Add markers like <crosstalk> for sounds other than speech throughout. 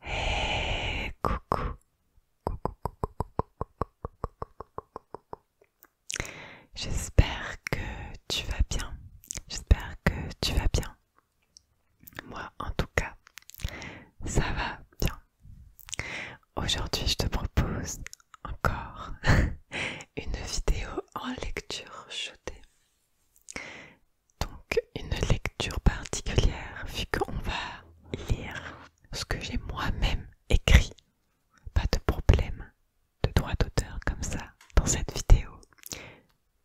Hey, coucou. Coucou, coucou, coucou, coucou. J'espère que tu vas bien. J'espère que tu vas bien. Moi, en tout cas, ça va bien. Aujourd'hui, je te propose encore une vidéo en lecture jetée. Donc une lecture particulière vu qu'on va lire ce que j'ai moi-même écrit. Pas de problème de droit d'auteur comme ça dans cette vidéo.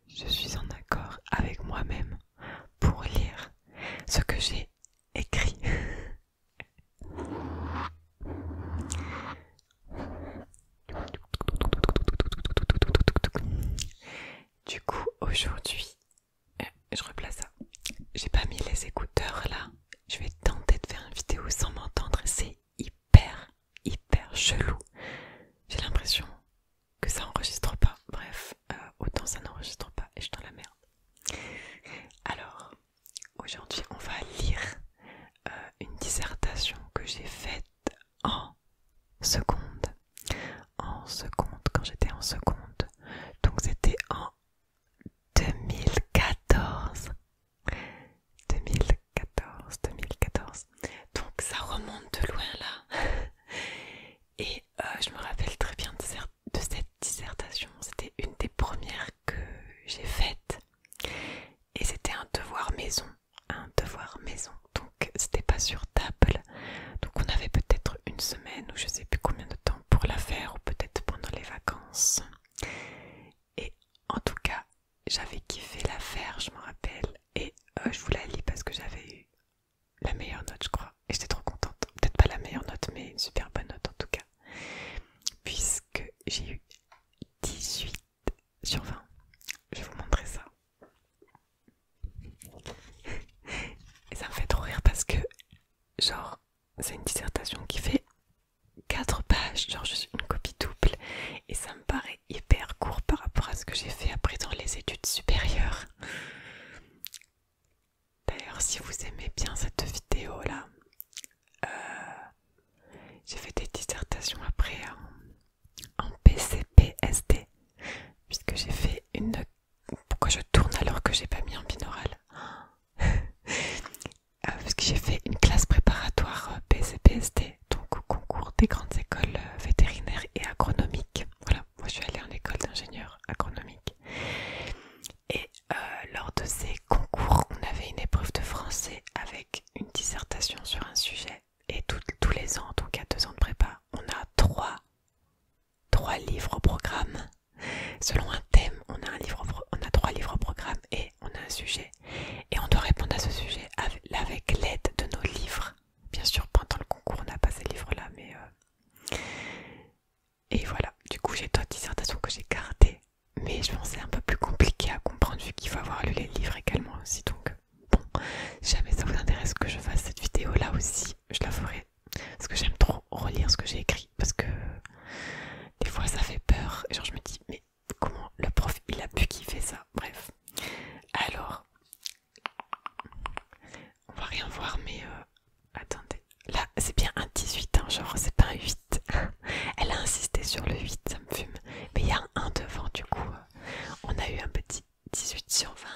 Je suis en accord avec moi-même pour lire ce que j'ai écrit. <laughs> Du coup, aujourd'hui, euh, je replace ça. J'ai pas mis les écouteurs là. Je vais tenter de faire une vidéo sans m'entendre. C'est hyper, hyper chelou. J'ai l'impression que ça enregistre pas. Bref, euh, autant ça n'enregistre pas et je suis dans la merde. Alors, Aujourd'hui, on va lire euh, une dissertation que j'ai faite en seconde. En seconde, quand j'étais en seconde. Donc c'était en 2014. 2014, 2014. Donc ça remonte de loin là. <laughs> Et euh, je me rappelle très bien de cette dissertation. C'était une des premières que j'ai faite. Et c'était un devoir maison, un devoir maison, donc c'était pas sur table. Donc on avait peut-être une semaine ou je sais plus combien de temps pour la faire, ou peut-être pendant les vacances. Et en tout cas, j'avais kiffé l'affaire, je m'en rappelle, et euh, je vous la lis parce que j'avais eu la meilleure note, je crois, et j'étais trop contente. Peut-être pas la meilleure note, mais une super bonne note en tout cas puisque j'ai eu 18 sur 20. Je vais vous montrer ça. Et ça me fait trop rire parce que, genre, c'est une dissertation qui fait 4 pages, genre juste une copie double, et ça me paraît hyper court par rapport à ce que j'ai fait après dans les études supérieures. D'ailleurs, si vous aimez bien cette vidéo là, euh, j'ai fait des dissertations après en, PCPSD, puisque j'ai fait une. Pourquoi je tourne alors que j'ai pas mis en binaural <laughs> euh, Parce que j'ai fait une classe préparatoire euh, PCPSD, donc au concours des grandes écoles vétérinaires et agronomiques. Voilà, moi je suis allée en école d'ingénieur agronomique et euh, lors de ces concours, on avait une épreuve de français avec une dissertation sur un sujet. Et tous les ans, tout cas deux ans de prépa, on a trois, trois livres au programme. Selon un thème, on a, un livre on a trois livres au programme et on a un sujet. Et on doit répondre à ce sujet avec l'aide de nos livres. Bien sûr, pendant le concours, on n'a pas ces livres-là, mais... Euh, et voilà, du coup j'ai d'autres dissertations que j'ai gardées, mais je pense c'est un peu plus compliqué à comprendre vu qu'il faut avoir lu les livres également aussi. Donc bon, si jamais ça vous intéresse que je fasse cette vidéo là aussi, je la ferai. Parce que j'aime trop relire ce que j'ai écrit, parce que des fois ça fait peur, genre je me dis mais comment le prof il a pu kiffer ça, bref. Alors, on va rien voir mais euh, Attendez, là c'est bien un 18, hein, genre c'est pas un 8. <laughs> Elle a insisté sur le 8, ça me fume. Mais il y a un 1 devant, du coup, euh, on a eu un petit 18 sur 20.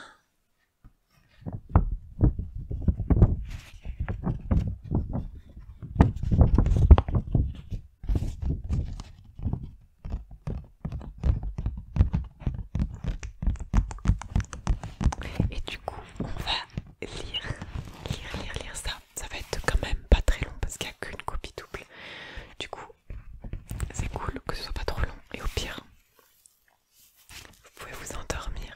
Et du coup, on va lire, lire, lire, lire ça. Ça va être quand même pas très long parce qu'il n'y a qu'une copie double. Du coup, c'est cool que ce soit pas trop long. Et au pire, vous pouvez vous endormir.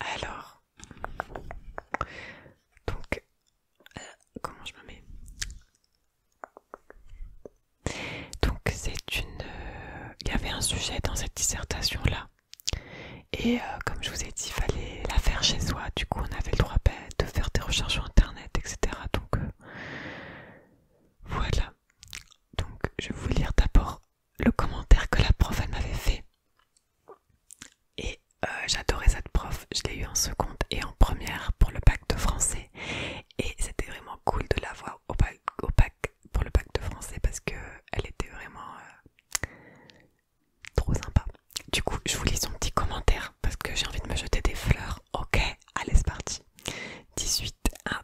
Alors, donc, euh, comment je me mets donc c'est une... Euh, il y avait un sujet dans cette dissertation-là. Et euh, comme je vous ai dit, il fallait la faire chez soi. Du coup, on avait le droit ben, de faire des recherches sur Internet, etc. Donc euh, voilà. Donc je vais vous lire d'abord le commentaire que la prof elle m'avait fait. Et j'adorais cette prof. Je l'ai eu en seconde et en première pour le bac de français. Et c'était vraiment cool de la voir au bac au pour le bac de français parce que elle était vraiment euh, trop sympa. Du coup, je vous lis son petit commentaire parce que j'ai envie de me jeter des fleurs. Ok, allez, c'est parti. 18. Un,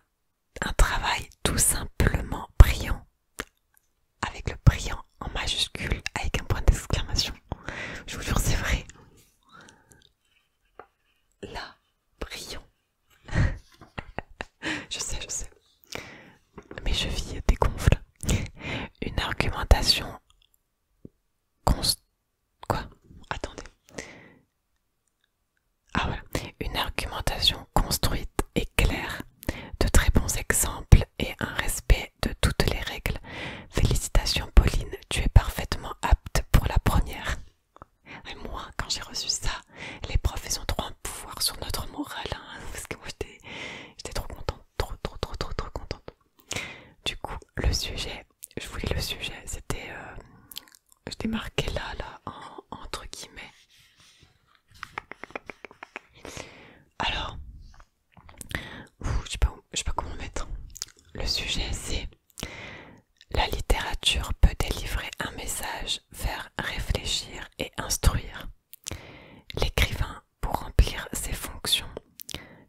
un travail tout simplement brillant. Avec le brillant en majuscule, avec un point d'exclamation. Je vous jure, c'est vrai. la brillant je sais, je sais. Mes je dégonflent. Une argumentation Attendez. Ah, Une argumentation construite et claire. De très bons exemples et un respect de toutes les règles. Félicitations Pauline, tu es parfaitement apte pour la première. Et moi, quand j'ai reçu ça, les profs, ils ont trop un pouvoir sur notre morale, hein, <laughs> parce que moi, j'étais trop contente, trop, trop, trop, trop, trop contente. Du coup, le sujet, je voulais le sujet, c'était, euh, je marqué là, là, entre guillemets. Alors, je pas, je sais pas comment mettre. Le sujet, c'est la littérature peut délivrer un message, faire réfléchir et instruire. L'écrivain, pour remplir ses fonctions,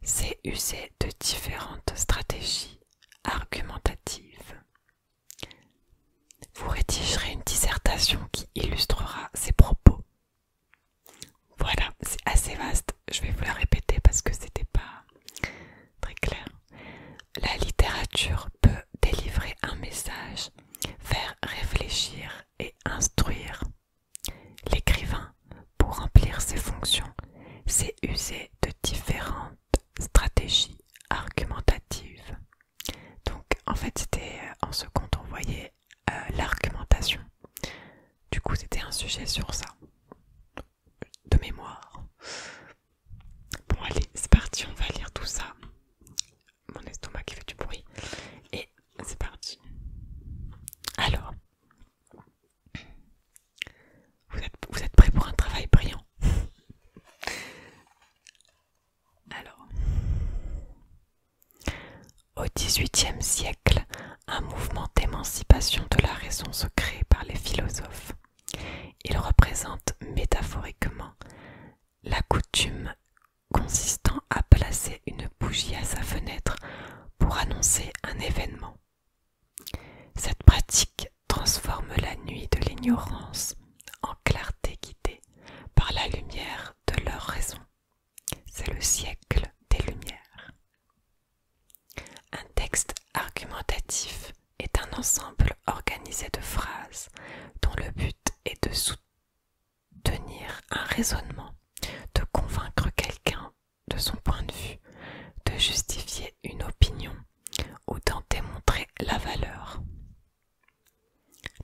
c'est user de différentes stratégies argumentatives. Vous rédigerez une dissertation qui illustrera ses propos. Voilà, c'est assez vaste je vais vous la répéter parce que c'était pas très clair. La littérature peut délivrer un message, faire réfléchir et instruire. L'écrivain, pour remplir ses fonctions, C'est usé de différentes stratégies argumentatives. Donc en fait c'était euh, en compte on voyait euh, l'argumentation. Du coup c'était un sujet sur ça de mémoire. Bon allez, c'est parti, on va lire tout ça. Mon estomac qui fait du bruit. Et c'est parti. Alors, vous êtes, vous prêts pour un travail brillant Alors, au XVIIIe siècle, un mouvement d'émancipation de la raison se crée par les philosophes. Il représente métaphoriquement la coutume consistant à placer une bougie à sa fenêtre pour annoncer un événement. Cette pratique transforme la nuit de l'ignorance en clarté guidée par la lumière de leur raison. C'est le siècle des Lumières. Un texte argumentatif est un ensemble organisé de phrases dont le but est de soutenir un raisonnement, de convaincre quelqu'un de son point de vue, de justifier une opinion ou d'en démontrer la valeur.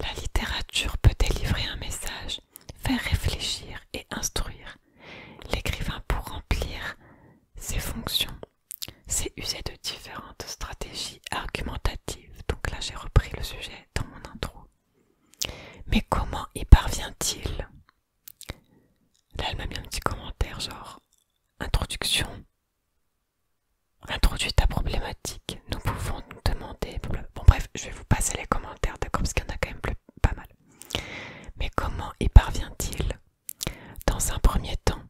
La littérature peut délivrer un message, faire réfléchir et instruire. L'écrivain pour remplir ses fonctions, c'est usé de différentes stratégies argumentatives. Donc là, j'ai repris le sujet dans mon intro. Mais comment y parvient-il Là, elle m'a mis un petit commentaire genre introduction. Introduit ta problématique. Nous pouvons nous demander. Bon bref, je vais vous passer les commentaires, d'accord Parce qu'il y en a quand même pas mal. Mais comment y parvient-il Dans un premier temps,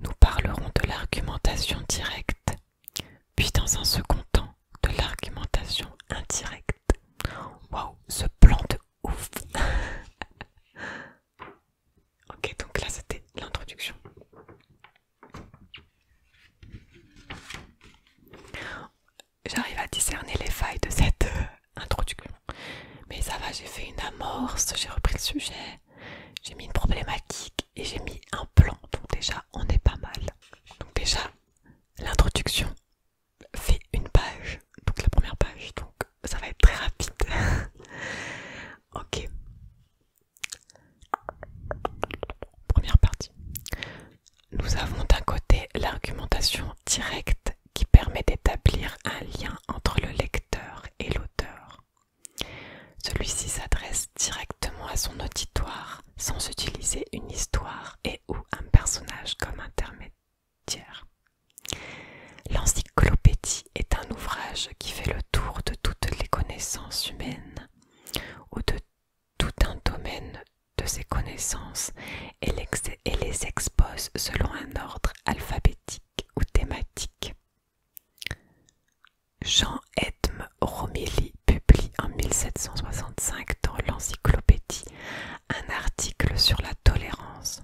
nous parlerons de l'argumentation directe, puis dans un second temps, de l'argumentation indirecte. Waouh, ce plan de ouf <laughs> Ok, donc là c'était l'introduction j'arrive à discerner les failles de cette euh, introduction. Mais ça va, j'ai fait une amorce, j'ai repris le sujet, j'ai mis une problématique et j'ai mis un plan. Donc déjà, on est pas mal. Donc déjà, l'introduction fait une page, donc la première page, donc ça va être très rapide. <laughs> ok. Première partie. Nous avons d'un côté l'argumentation directe qui permet d'établir un lien entre le lecteur et l'auteur. Celui-ci s'adresse directement à son auditoire sans utiliser une histoire et ou un personnage comme intermédiaire. L'encyclopédie est un ouvrage qui fait le tour de toutes les connaissances humaines ou de tout un domaine de ses connaissances et les expose selon un ordre alphabétique ou thématique. Jean Edme Romilly publie en 1765 dans l'Encyclopédie un article sur la tolérance.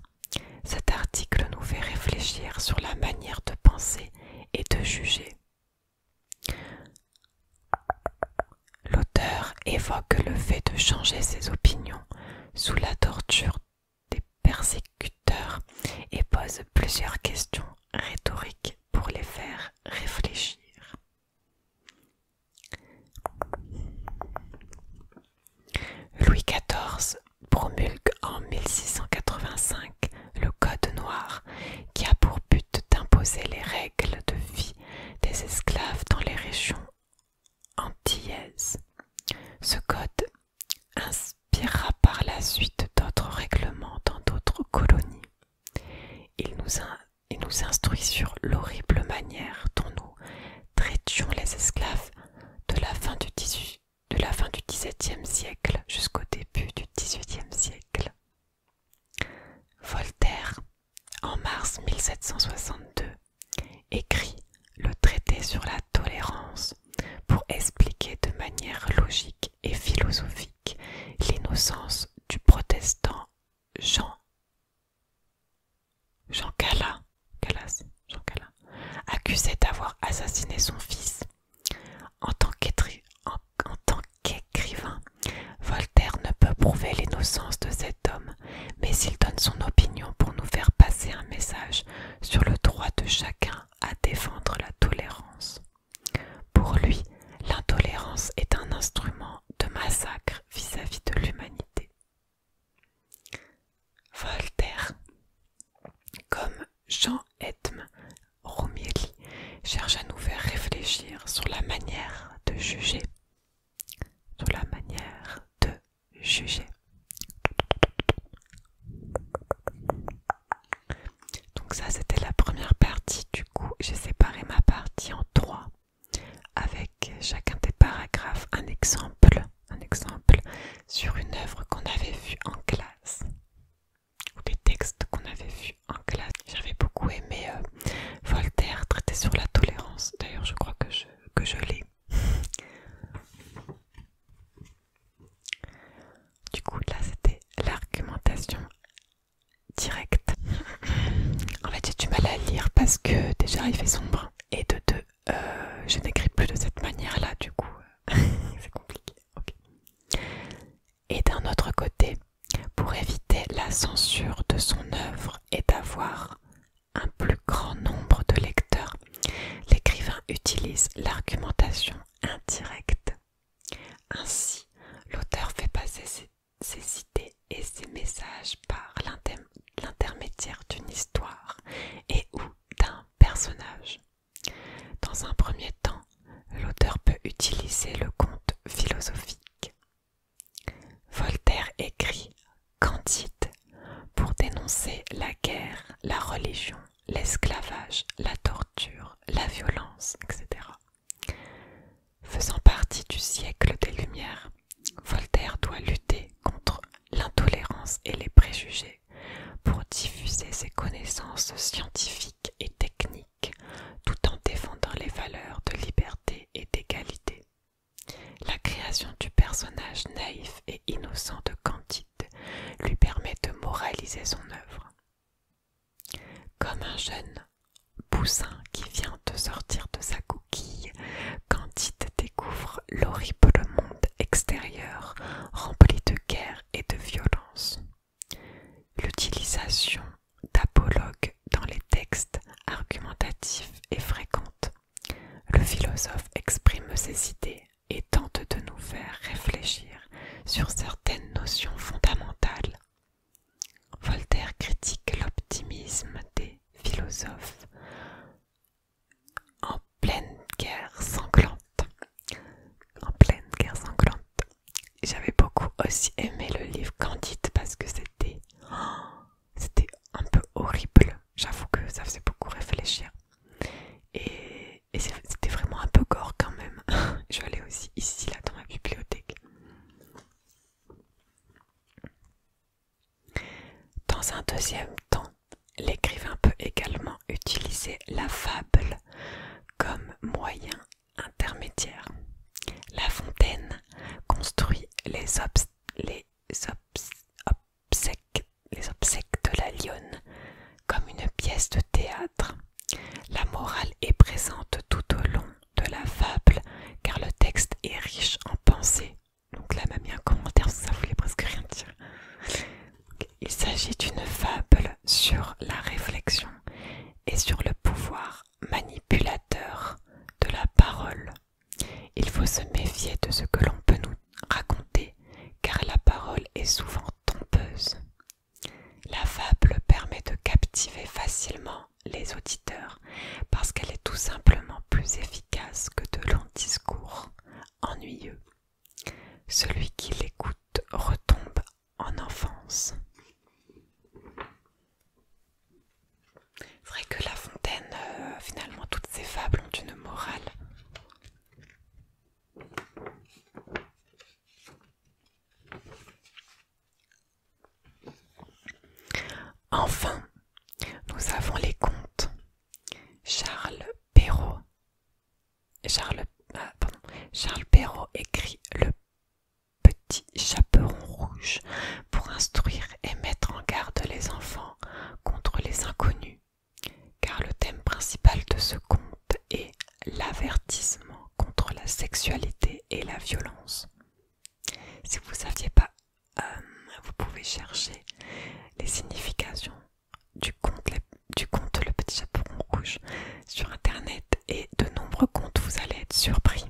Cet article nous fait réfléchir sur la manière de penser et de juger l'auteur évoque le fait de changer ses opinions sous la torture des persécuteurs et pose plusieurs questions rhétoriques pour les faire réfléchir. Louis XIV promulgue en 1685 le Code noir qui a pour but d'imposer les règles de vie des esclaves dans les régions antillaise. Ce code inspirera par la suite d'autres règlements dans d'autres colonies. Il nous, instruit sur l'horrible manière dont nous traitions les esclaves de la fin du XVIIe siècle jusqu'au début du XVIIIe siècle. Voltaire en mars 1762, écrit le traité sur la tolérance pour expliquer de manière logique et philosophique l'innocence du protestant Jean Jean Calas, Calas accusé d'avoir assassiné son fils. En tant qu'écrivain, Voltaire ne peut prouver l'innocence de cet homme, mais il donne son opinion pour nous faire passer un message sur le droit de chacun à défendre la tolérance. Pour lui, l'intolérance est un instrument de massacre vis-à-vis de l'humanité. Voltaire, comme Jean Edme Romielli, cherche à nous faire réfléchir sur la manière de juger de la manière de juger. Donc ça c'était la première partie, du coup j'ai séparé ma partie en trois avec chacun des paragraphes un exemple, un exemple sur une œuvre qu'on avait vue en classe ou des textes qu'on avait vus en classe. J'avais beaucoup aimé euh, Voltaire traité sur la tolérance. D'ailleurs, je crois que je, l'ai. Du coup, là, c'était l'argumentation directe. En fait, j'ai du mal à lire parce que déjà, il fait sombre. Et de deux, euh, je n'écris plus de cette manière-là, du coup, <laughs> c'est compliqué. Et d'un autre côté, pour éviter la censure de son œuvre et d'avoir un plus grand nombre de lecteurs, l'écrivain utilise l'argumentation indirecte. Ainsi, l'auteur fait passer ses, idées et ses messages par l'intermédiaire d'une histoire et ou d'un personnage. Dans un premier temps, l'auteur peut utiliser le conte philosophique. Voltaire écrit Candide pour dénoncer la guerre, la religion, l'esclavage, la torture, la violence, etc. Faisant partie du siècle des Lumières, Voltaire doit lutter contre l'intolérance et les préjugés pour diffuser ses connaissances scientifiques et techniques tout en défendant les valeurs de liberté et d'égalité. La création du personnage naïf et innocent de Candide lui permet de moraliser son œuvre. Comme un jeune poussin qui vient de sortir de sa coquille, Candide découvre l'horrible monde extérieur rempli de guerre et de violence. L'utilisation d'apologues dans les textes argumentatifs et fréquentes. Le philosophe exprime ses idées et tente de nous faire réfléchir sur certaines notions fondamentales. Voltaire critique l'optimisme des philosophes en pleine guerre sanglante. En pleine guerre sanglante. J'avais beaucoup aussi aimé le livre Candide parce que oh, c'était un peu horrible. J'avoue que ça faisait beaucoup réfléchir. Et, c'était vraiment un peu gore quand même. <laughs> Je l'ai aussi ici, là, dans ma bibliothèque. Dans un deuxième temps, l'écrivain peut également utiliser la fable comme moyen intermédiaire. La fontaine construit les, les, obsèques, de la lionne comme une pièce de théâtre. La morale est présente tout au long de la fable car le texte est riche en pensées. Donc là, m'a mis un commentaire, ça voulait presque rien dire. Il s'agit d'une fable sur la réflexion et sur le pouvoir manipulateur de la parole. Il faut se méfier de ce que l'on peut nous raconter, car la parole est souvent trompeuse. La fable permet de captiver facilement les auditeurs, parce qu'elle est tout simplement plus efficace que de longs discours ennuyeux. Celui qui l'écoute retombe en enfance. C'est vrai que La Fontaine, euh, finalement, toutes ces fables ont une morale. Enfin, nous avons les contes. Charles Perrault. Charles, ah, Charles Perrault écrit le petit chaperon rouge pour instruire et mettre en garde les enfants contre les inconnus, car le thème principal de ce conte est l'avertissement contre la sexualité et la violence. Si vous ne saviez pas, euh, vous pouvez chercher les significations du conte Le Petit Chaperon Rouge sur Internet et de nombreux contes, vous allez être surpris.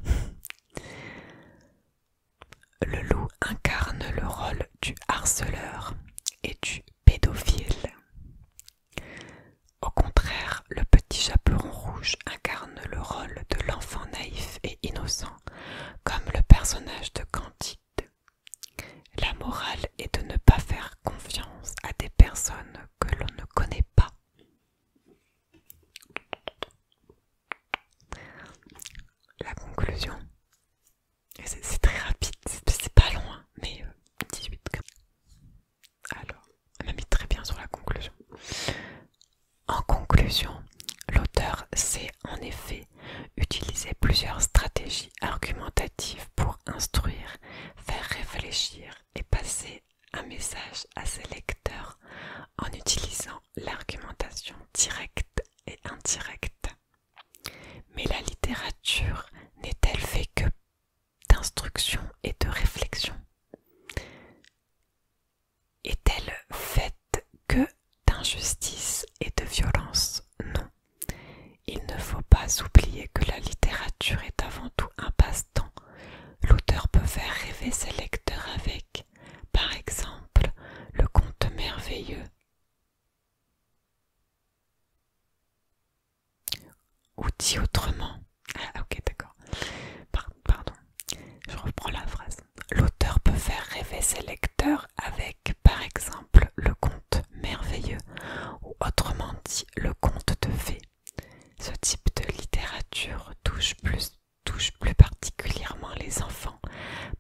Le loup incarne le rôle du harceleur et du pédophile. Au contraire, le petit chaperon rouge incarne le rôle de l'enfant naïf et innocent, comme le personnage de Candide. La morale est de ne pas faire confiance à des personnes que l'on ne connaît pas. La conclusion, c'est très rapide, c'est pas loin, hein, mais 18. Euh, Alors, on a mis très bien sur la conclusion. En conclusion, l'auteur sait en effet utiliser plusieurs stratégies argumentatives pour instruire, faire réfléchir, et passer un message à ses lecteurs en utilisant l'argumentation directe et indirecte. Mais la littérature n'est-elle faite que d'instruction et de réflexion Est-elle faite que d'injustice et de violence Non. Il ne faut pas oublier que la littérature est avant tout un passe-temps. L'auteur peut faire rêver ses lecteurs avec, par exemple, le conte merveilleux ou dit autrement. Ah, ok, d'accord. Pardon, je reprends la phrase. L'auteur peut faire rêver ses lecteurs avec, par exemple, le conte merveilleux, ou autrement dit, le conte de fées. Ce type de littérature touche plus, particulièrement les enfants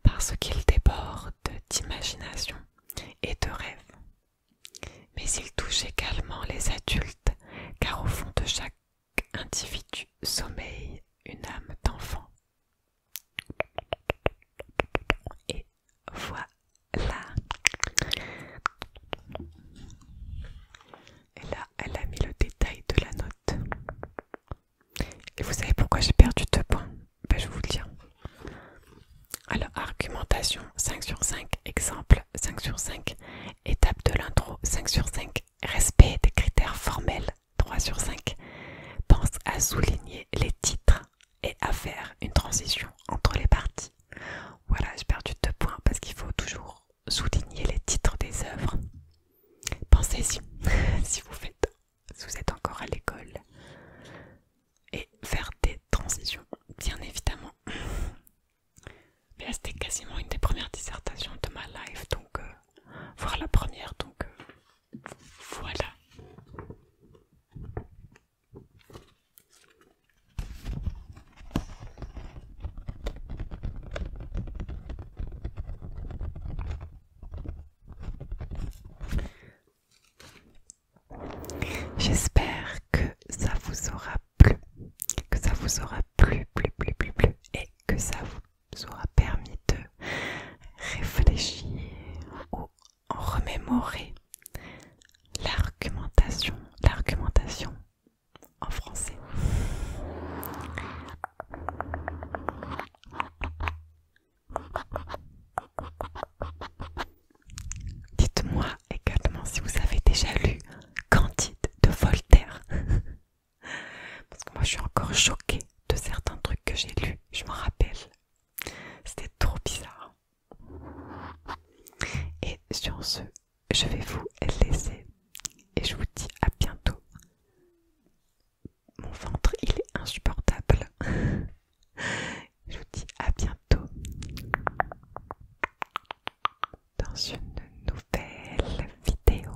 parce qu'il déborde d'imagination et de rêves. Mais il touche également les adultes car au fond de chaque individu sommeille une âme d'enfant voilà. Et là, elle a mis le détail de la note. Et vous savez pourquoi j'ai perdu deux points ben, Je vous le dis. Hein. Alors, argumentation 5 sur 5, exemple 5 sur 5, étape de l'intro 5 sur 5, respect des critères formels 3 sur 5, pense à souligner les titres et à faire une transition entre les parties. Voilà, j'ai perdu deux points parce qu'il faut toujours souligner les titres des œuvres. Pensez-y <laughs> si vous faites, si vous êtes encore à l'école et faire des transitions, bien évidemment. Mais c'était quasiment une des premières dissertations de ma life, donc euh, la première, donc euh, voilà. J'espère que ça vous aura plu, que ça vous aura plu, plu, plu, plu, plu, et que ça vous aura permis de réfléchir en remémorer l'argumentation, l'argumentation en français. Dites-moi également si vous avez déjà lu Candide de Voltaire. <laughs> Parce que moi je suis encore choquée de certains trucs que j'ai lus, je m'en rappelle. C'était trop bizarre. Et sur ce, je vais vous laisser et je vous dis à bientôt. Mon ventre, il est insupportable. <laughs> je vous dis à bientôt dans une nouvelle vidéo.